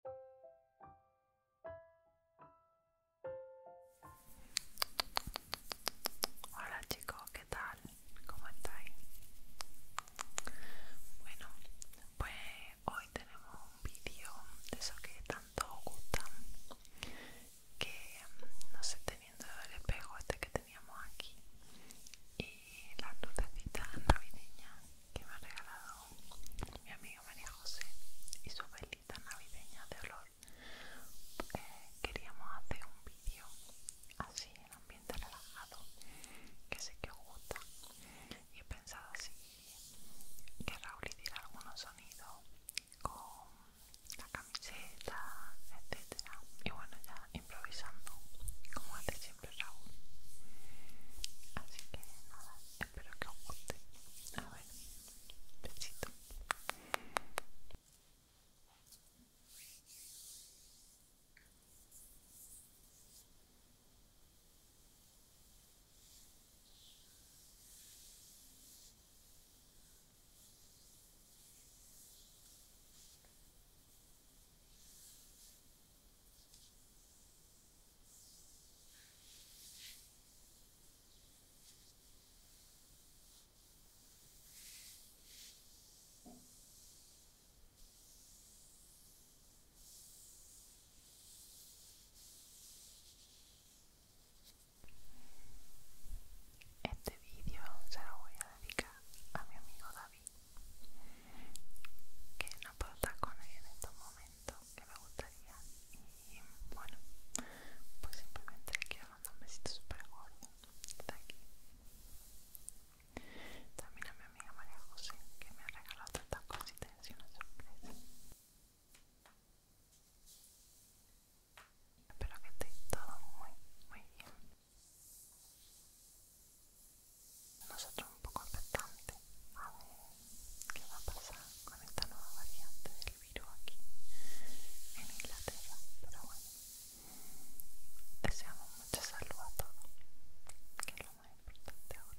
Hola chicos, ¿qué tal? ¿Cómo estáis? Bueno, pues hoy tenemos un vídeo de esos que tanto os gustan que no sé, teniendo el espejo este que teníamos aquí y la lucecitas navideña que me ha regalado mi amiga María, José y su velita navideña de olor porque eh, queríamos hacer un vídeo así en ambiente relajado que sé que os gusta y he pensado así que Raúl hiciera algunos sonidos con la camiseta etcétera y bueno ya improvisando como antes pero Raúl. Así que nada, espero que os guste. A ver, besito. Este vídeo se lo voy a dedicar a mi amigo David que no puedo estar con ella en estos momentos que me gustaría y bueno pues simplemente le quiero mandar un besito super gordo de aquí también a mi amiga María José que me ha regalado tantas cositas y una Espero que estéis todo muy, muy bien nosotros un poco expectantes a ver qué va a pasar con esta nueva variante del virus aquí en Inglaterra, pero bueno, deseamos mucha salud a todos, que es lo más importante ahora.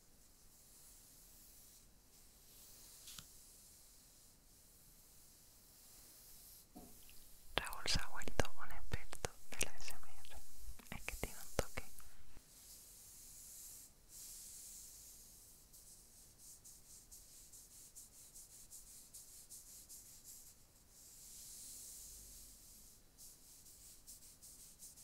Raúl se ha vuelto un experto de la Es que tiene un toque.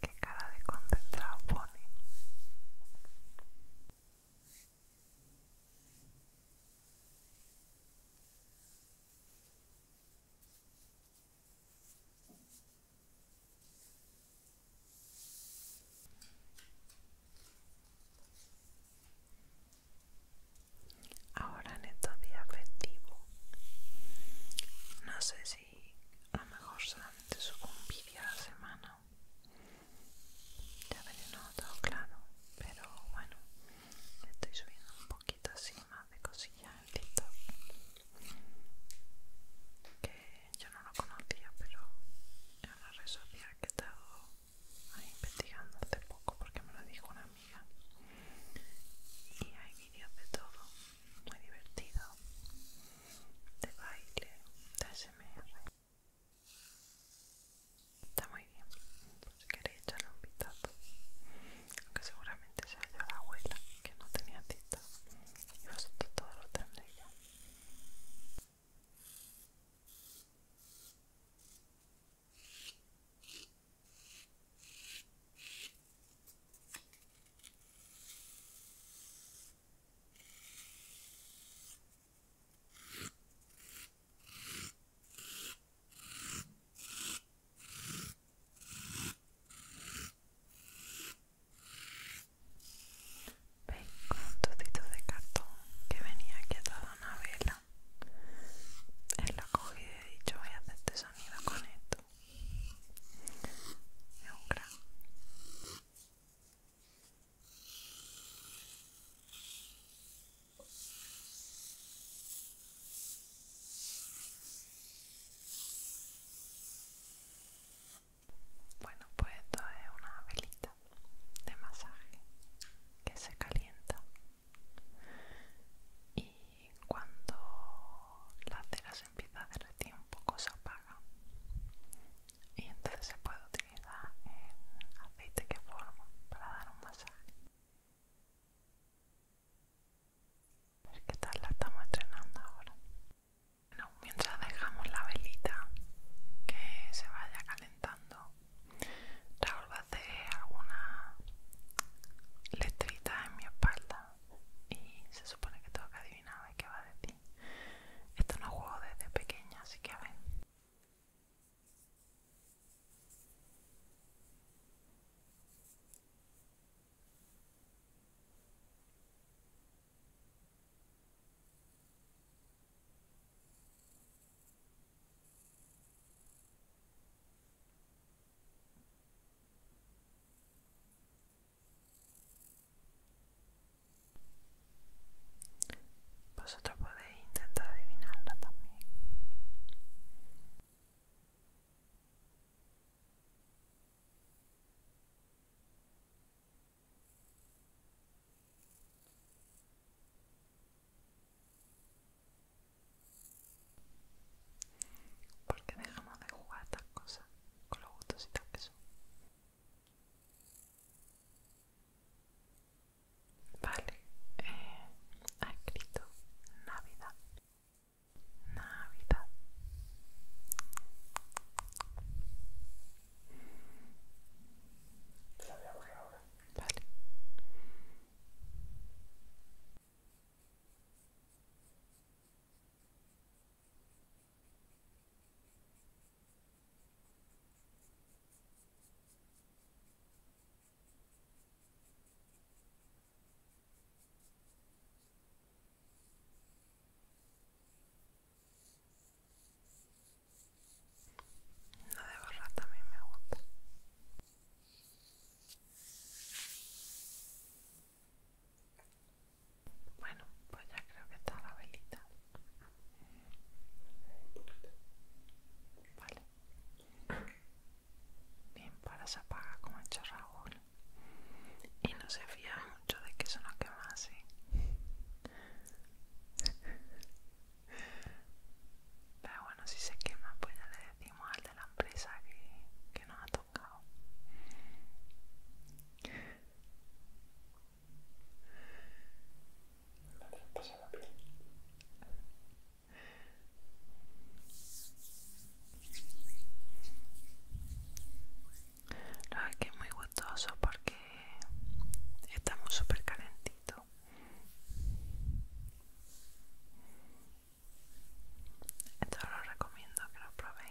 Qué cara de concentrado pone. Ahora en estos días no sé si a lo mejor solamente subo un vídeo a la semana ya veréis no todo claro pero bueno estoy subiendo un poquito así más de cosillas en TikTok que yo no lo conocía pero es una red social que he estado investigando hace poco porque me lo dijo una amiga y hay vídeos de todo muy divertido de baile de SMR Está muy bien, quería queréis echarle un vistazo. Aunque seguramente se yo la abuela que no tenía tita y vosotros todos lo tendréis Veis con trocito de cartón que venía aquí a una vela. Él lo cogió y he dicho voy a hacer este sonido con esto. Es un gran. Bueno, pues esto es una velita de masaje que se calienta y cuando la cera se empieza a derretir un poco se apaga y entonces se puede utilizar el aceite que forma para dar un masaje. A ver qué tal la estamos estrenando ahora. Bueno, mientras dejamos la velita que se vaya calentando, Raúl va a hacer alguna letrita en mi espalda y se supone que tengo que Nada qué va a decir. Esto no juego desde pequeña, así que a ver. Vosotros pues podéis intentar adivinarlo también. Porque dejamos de jugar estas cosas con los y que son. Vale, eh, ha escrito Navidad. Navidad. Te la voy a borrar ahora. Vale. No de barra también me gusta. Bueno, pues ya creo que está la velita. Vale. Bien, para se apaga como el charragón Y no se fía mucho de que eso no quema así. Pero bueno, si se quema, pues ya le decimos al de la empresa que nos ha tocado la que es muy gustoso porque estamos súper calentito Esto lo recomiendo que lo probéis.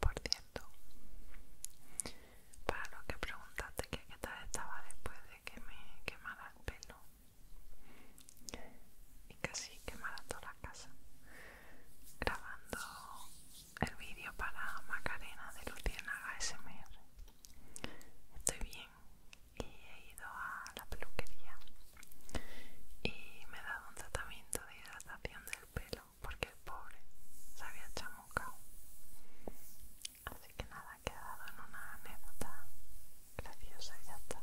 Por cierto, para lo que preguntaste que qué tal estaba después de que me quemara el pelo y casi quemara toda la casa grabando el vídeo para Macarena de Luciana ASMR. Estoy bien, y he ido a la peluquería y me he dado un tratamiento de hidratación del pelo porque el pobre se había chamucado. Así que nada, ha quedado en una anécdota graciosa y ya está.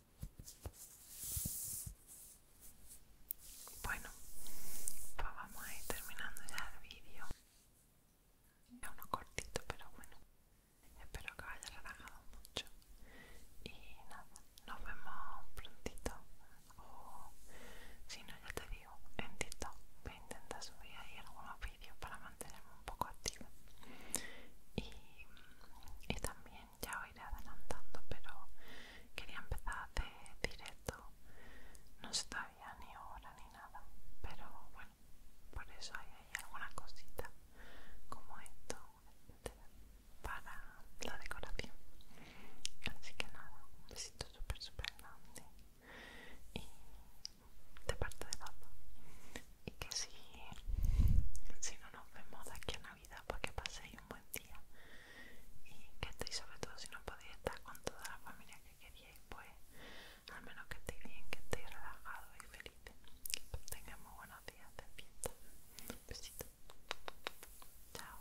Bueno, pues vamos a ir terminando ya el vídeo. Es uno cortito, pero bueno, espero que os haya relajado mucho. Y nada, nos vemos prontito. O si no, ya te digo, en TikTok voy a intentar subir ahí algunos vídeos para mantenerme un poco activa. y también ya os iré adelantando, pero quería empezar de directo. No se sabía ni hora ni nada, pero bueno, por eso hay, alguna cosita como esto, para la decoración. Así que nada, un besito súper, súper grande. Y de parte de Lapa. Y que si, no nos vemos de aquí a vida, paséis un buen día y que estéis, sobre todo si no podéis estar con toda la familia que queríais, pues al menos que estéis bien, que estéis relajados y feliz Que tengáis muy buenos días de Besitos. chao.